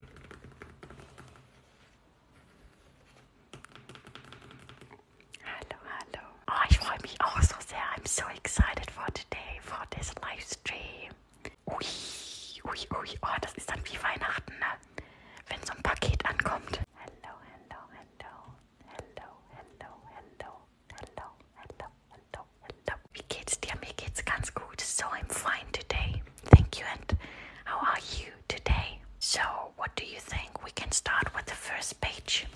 Hello, hello. Oh, ich freue mich auch so sehr. I'm so excited for today, for this live stream. Ui, ui, ui. Oh, das ist dann wie Weihnachten, ne? Wenn so ein Paket ankommt. Hello, hello, hello. Hello, hello, hello. Hello, hello, hello, hello. Wie geht's dir? Mir geht's ganz gut. So, I'm fine today. thank you. And how are you today? So, what do you think? We can start with the first page.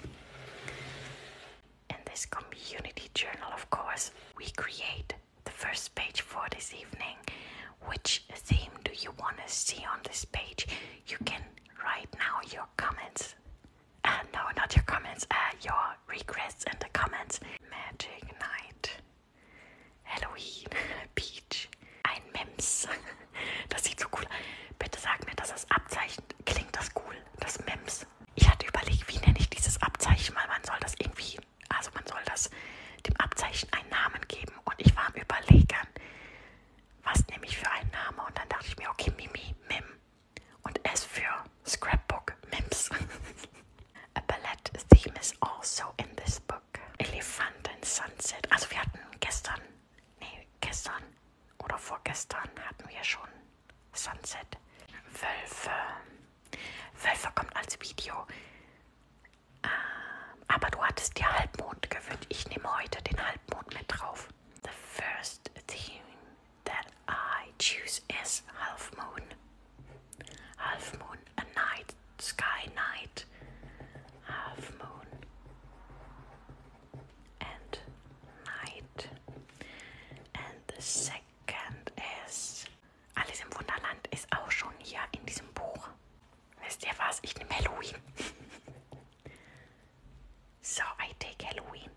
In this community journal, of course, we create the first page for this evening. Which theme do you want to see on this page? You can write now your comments. Uh, no, not your comments, uh, your regrets in the comments. Magic Night. Halloween, Peach, ein Mems. Das sieht so cool aus. Bitte sag mir, dass das Abzeichen klingt das cool, das Mems. Ich hatte überlegt, wie nenne ich dieses Abzeichen, weil man soll das irgendwie, also man soll das dem Abzeichen einen Namen geben. Und ich war am Überlegen, was nehme ich für einen Namen? Und dann dachte ich mir, okay, Mimi, Mim. Und S für Scrapbook, Mims. A ballet theme is also in this book. Elephant and Sunset. Also wir hatten gestern, nee, gestern oder vorgestern hatten wir schon Sunset. Wölfe. Wölfe kommt als Video. Ähm, aber du hattest dir Halbmond gewünscht. Ich nehme heute den Halbmond mit drauf. The first theme that I choose is Half Moon. Half Moon, a night, sky night, half moon and night. And the second is Alles im Wunderland ist auch schon hier in diesem Buch. Wisst ihr was? Ich nehme Halloween. so, I take Halloween.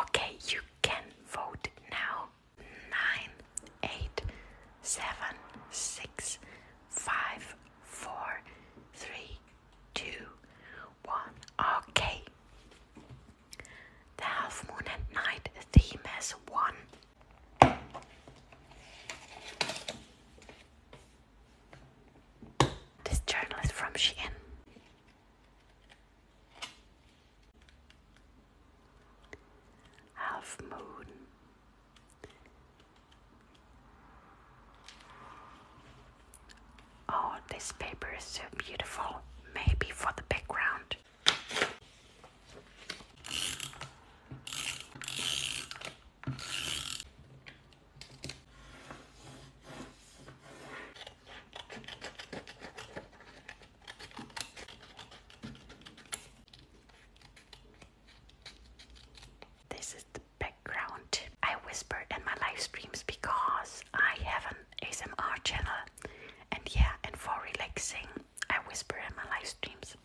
Okay, you can vote now. Nine, eight, seven, six, five, four, three, two, one. Okay. The half moon at night theme has won. This journalist from Shein half moon. Oh, this paper is so beautiful. Maybe for the background. This is the background. I whisper in my live streams because I have an ASMR channel, and yeah, and for relaxing, I whisper in my live streams.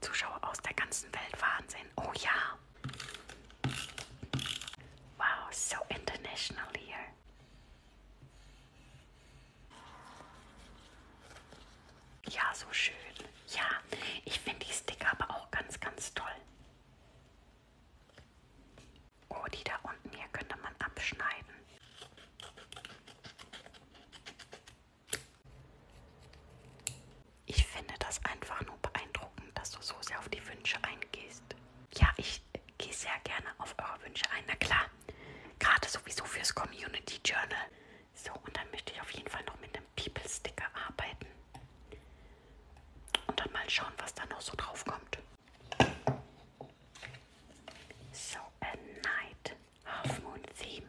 Zuschauer aus der ganzen Welt Wahnsinn. Oh ja. Wow, so international here. Ja, so schön. Ja, ich finde die Sticker aber auch ganz, ganz toll. Oh, die da unten hier könnte man abschneiden. Ich finde das einfach nur beeindruckend, dass du so sehr auf die Wünsche eingehst heißt. Ja, ich gehe sehr gerne auf eure Wünsche ein. Na klar, gerade sowieso fürs Community Journal. So, und dann möchte ich auf jeden Fall noch mit einem People-Sticker arbeiten. Und dann mal schauen, was da noch so drauf kommt. So, a night. Half Moon Theme.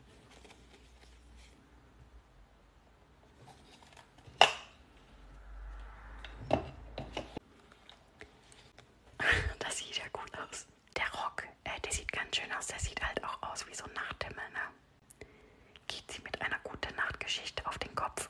Das sieht ja gut aus. Der Rock, äh, der sieht ganz schön aus. Der sieht halt auch aus wie so ein Nachthimmel, ne? Geht sie mit einer guten Nachtgeschichte auf den Kopf.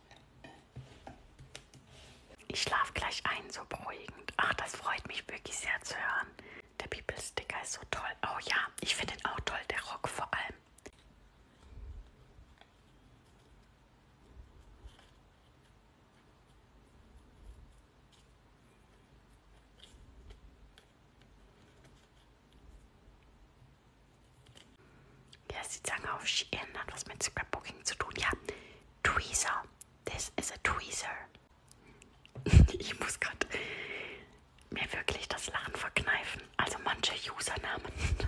Ich schlafe gleich ein, so beruhigend. Ach, das freut mich wirklich sehr zu hören. Der People Sticker ist so toll. Oh ja, ich finde ihn auch toll, der Rock vor allem. Ja, sie sagen auf Shein hat was mit Scrapbooking zu tun. Ja, Tweezer. This is a Tweezer. ich muss gerade mir wirklich das Lachen verkneifen. Also manche Usernamen.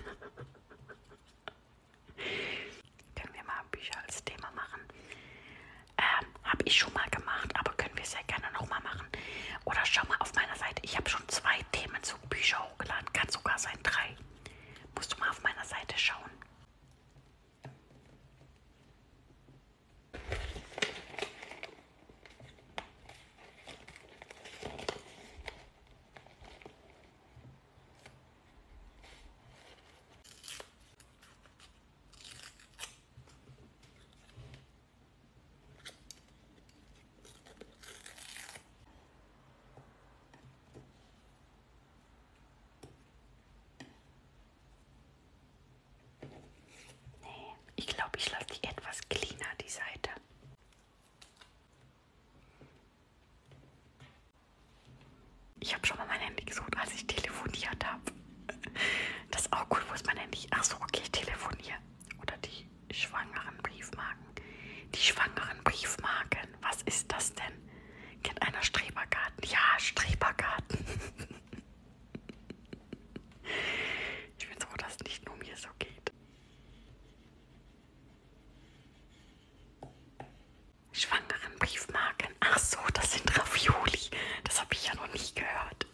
können wir mal Bücher als Thema machen? Ähm, habe ich schon mal gemacht, aber können wir sehr gerne nochmal machen. Oder schau mal auf meiner Seite, ich habe schon zwei Themen zu Büchern hochgeladen. Kann sogar sein drei. Musst du mal auf meiner Seite schauen. Nee, ich glaube, ich lasse die etwas cleaner, die Seite. Ich habe schon mal mein Handy gesucht, als ich telefoniert habe. Das ist auch gut, wo ist mein Handy? Achso, okay, ich telefoniere. Oder die schwangeren Briefmarken. Die schwangeren Briefmarken denn? Was ist das denn? Kennt einer Strebergarten? Ja, Strebergarten. ich bin froh, dass es nicht nur mir so geht. Schwangeren Briefmarken. Ach so, das sind Ravioli. Das habe ich ja noch nicht gehört.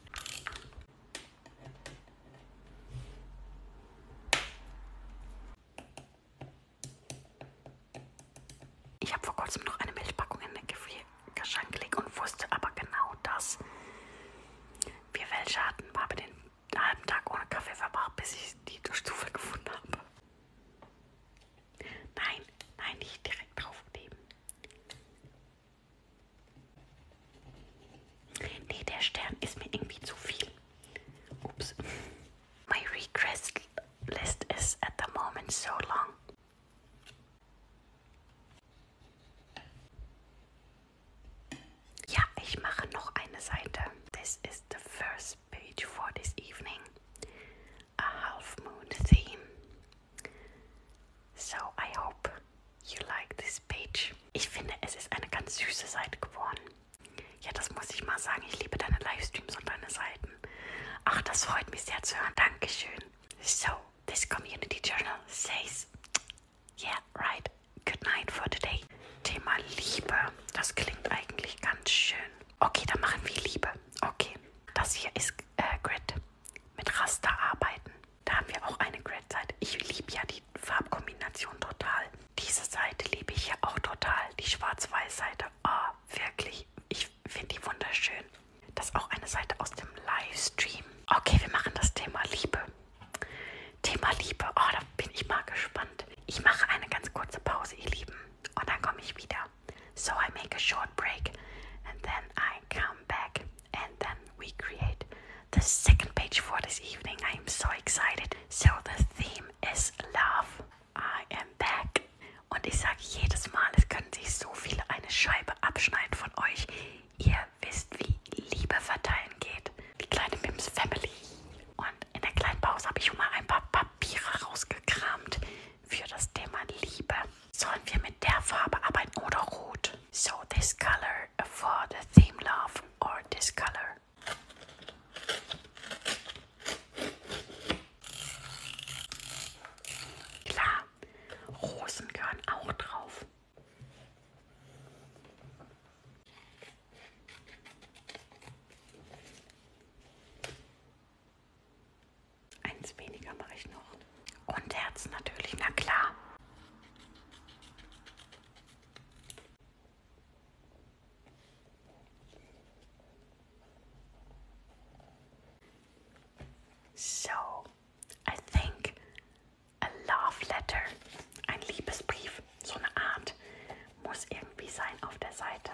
Ich habe vor kurzem noch eine Milchpackung in den Gefrierschrank gelegt und wusste aber genau, dass wir welche hatten, habe den halben Tag ohne Kaffee verbracht, bis ich die Stufe gefunden habe. Nein, nein, nicht direkt draufkleben. Nee, der Stern ist mir irgendwie zu viel. My request list is at the moment so long. Ja, ich mache noch eine Seite. This is the first page for this evening. A half moon theme. So, I hope you like this page. Ich finde, es ist eine ganz süße Seite Ja, das muss ich mal sagen. Ich liebe deine Livestreams und deine Seiten. Ach, das freut mich sehr zu hören. Dankeschön. So, this community journal says, yeah, right. Good night for today. Thema Liebe. Das klingt eigentlich ganz schön. Okay, dann machen wir Liebe. Okay. Das hier ist äh, Grid. Mit Raster arbeiten. Da haben wir auch eine Grid-Seite. Ich liebe ja die Farbkombination total. Diese Seite liebe ich ja auch total, die Schwarz-Weiß-Seite. Ah, oh, wirklich, ich finde die wunderschön. Das ist auch eine Seite aus dem Livestream. Okay, wir machen das Thema Liebe. Thema Liebe, oh, da bin ich mal gespannt. Ich mache eine ganz kurze Pause, ihr Lieben, und dann komme ich wieder. So I make a short break and then I come back and then we create the second page for this evening. I am so excited. So, the theme is love. I am back. Und ich sage jedes Mal, es können sich so viele eine Scheibe abschneiden von euch. Ihr wisst, wie Liebe verteilen geht. Die kleine Mims Family. Und in der kleinen Pause habe ich schon mal ein paar Papiere rausgekramt für das Thema Liebe. Sollen wir mit der Farbe arbeiten oder rot? So, this color for the theme love or this color. Klar, Rosen gehören auch drauf. Eins weniger mache ich noch. Und Herz natürlich, na klar. So, I think a Love Letter, ein Liebesbrief, so eine Art, muss irgendwie sein auf der Seite.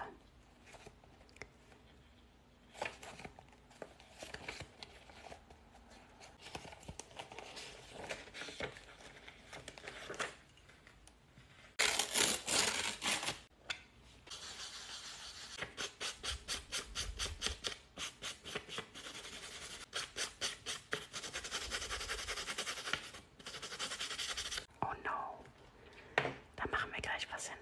Oh no, da machen wir gleich was hin.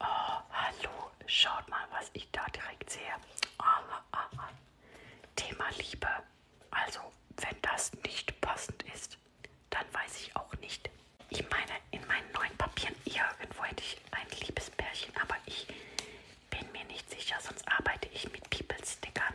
Oh, hallo, schaut mal, was ich da direkt sehe. Ah, ah, ah. Thema Liebe. Also, wenn das nicht passend ist, dann weiß ich auch nicht. Ich meine, in meinen neuen Papieren irgendwo hätte ich ein Liebespärchen, aber ich bin mir nicht sicher, sonst arbeite ich mit People-Stickern.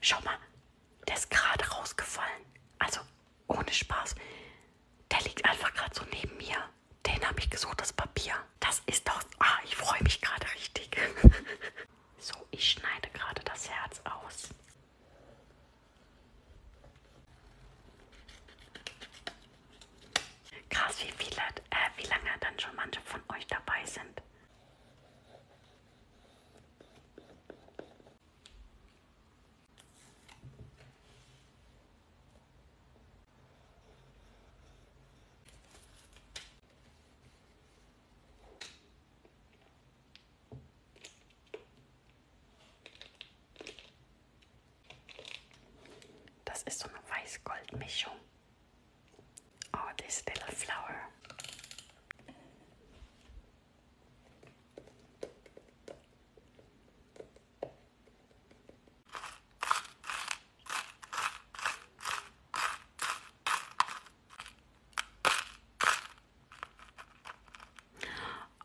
Schau mal, der ist gerade rausgefallen. Also ohne Spaß. Der liegt einfach gerade so neben mir. Den habe ich gesucht, das Papier. Das ist doch... Ah, ich freue mich gerade richtig. so, ich schneide gerade das Herz aus. Krass, wie viele, äh, wie lange dann schon manche von euch dabei sind. Das ist so eine Weiß-Gold-Mischung. Oh, this little flower.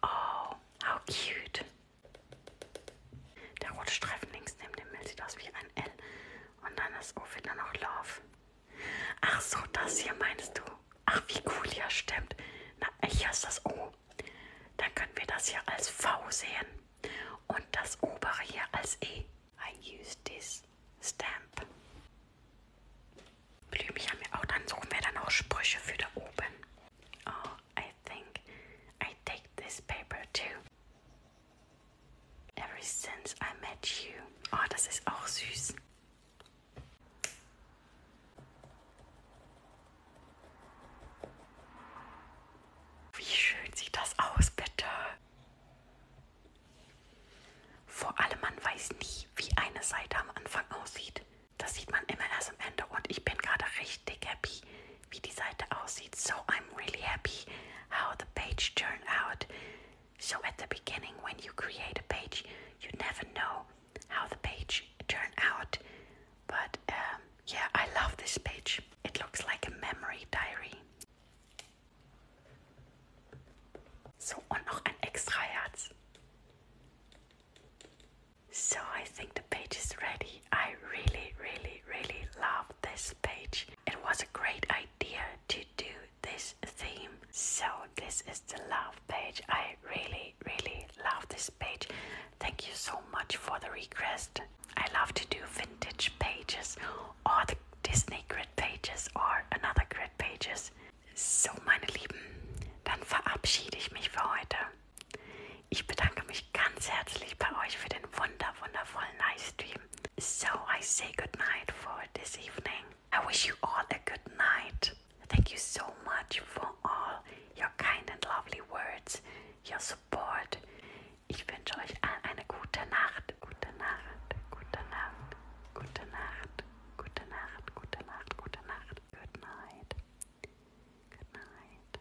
Oh, how cute. Der rote Streifen links neben dem Bild sieht aus wie ein L. Und dann ist auch wieder noch Love. Ach so, das hier meinst du? Ach, wie cool, ja, stimmt. Na, hier ist das O. Dann können wir das hier als V sehen. Und das obere hier als E. I use this stamp. Blümchen mir auch. Dann suchen wir dann auch Sprüche für da oben. Oh, I think I take this paper too. Ever since I met you. Oh, das ist auch süß. Wie schön sieht das aus, bitte. Vor allem, man weiß nie, wie eine Seite am Anfang aussieht. Das sieht man immer erst am Ende und ich bin gerade richtig happy, wie die Seite aussieht. So I'm really happy how the page turned out. So at the beginning, when you create a page, you never know how the page turned out. But um, yeah, I love this page. It looks like a memory diary. So, und noch ein extra Herz. So I think the page is ready. I really, really, really love this page. It was a great idea to do this theme. So, this is the love page. I really, really love this page. Thank you so much for the request. I love to do vintage pages or Disney grid pages or another grid pages. So, meine Lieben, dann verabschiede ich mich für heute. Ich bedanke mich ganz herzlich bei euch für den wunder, wundervollen Livestream. So, I say good night for this evening. I wish you all a good night. Thank you so much for all your kind and lovely words, your support. Ich wünsche euch allen eine gute Nacht, gute Nacht, gute Nacht, gute Nacht, gute Nacht, gute Nacht, gute Nacht, good night, good night.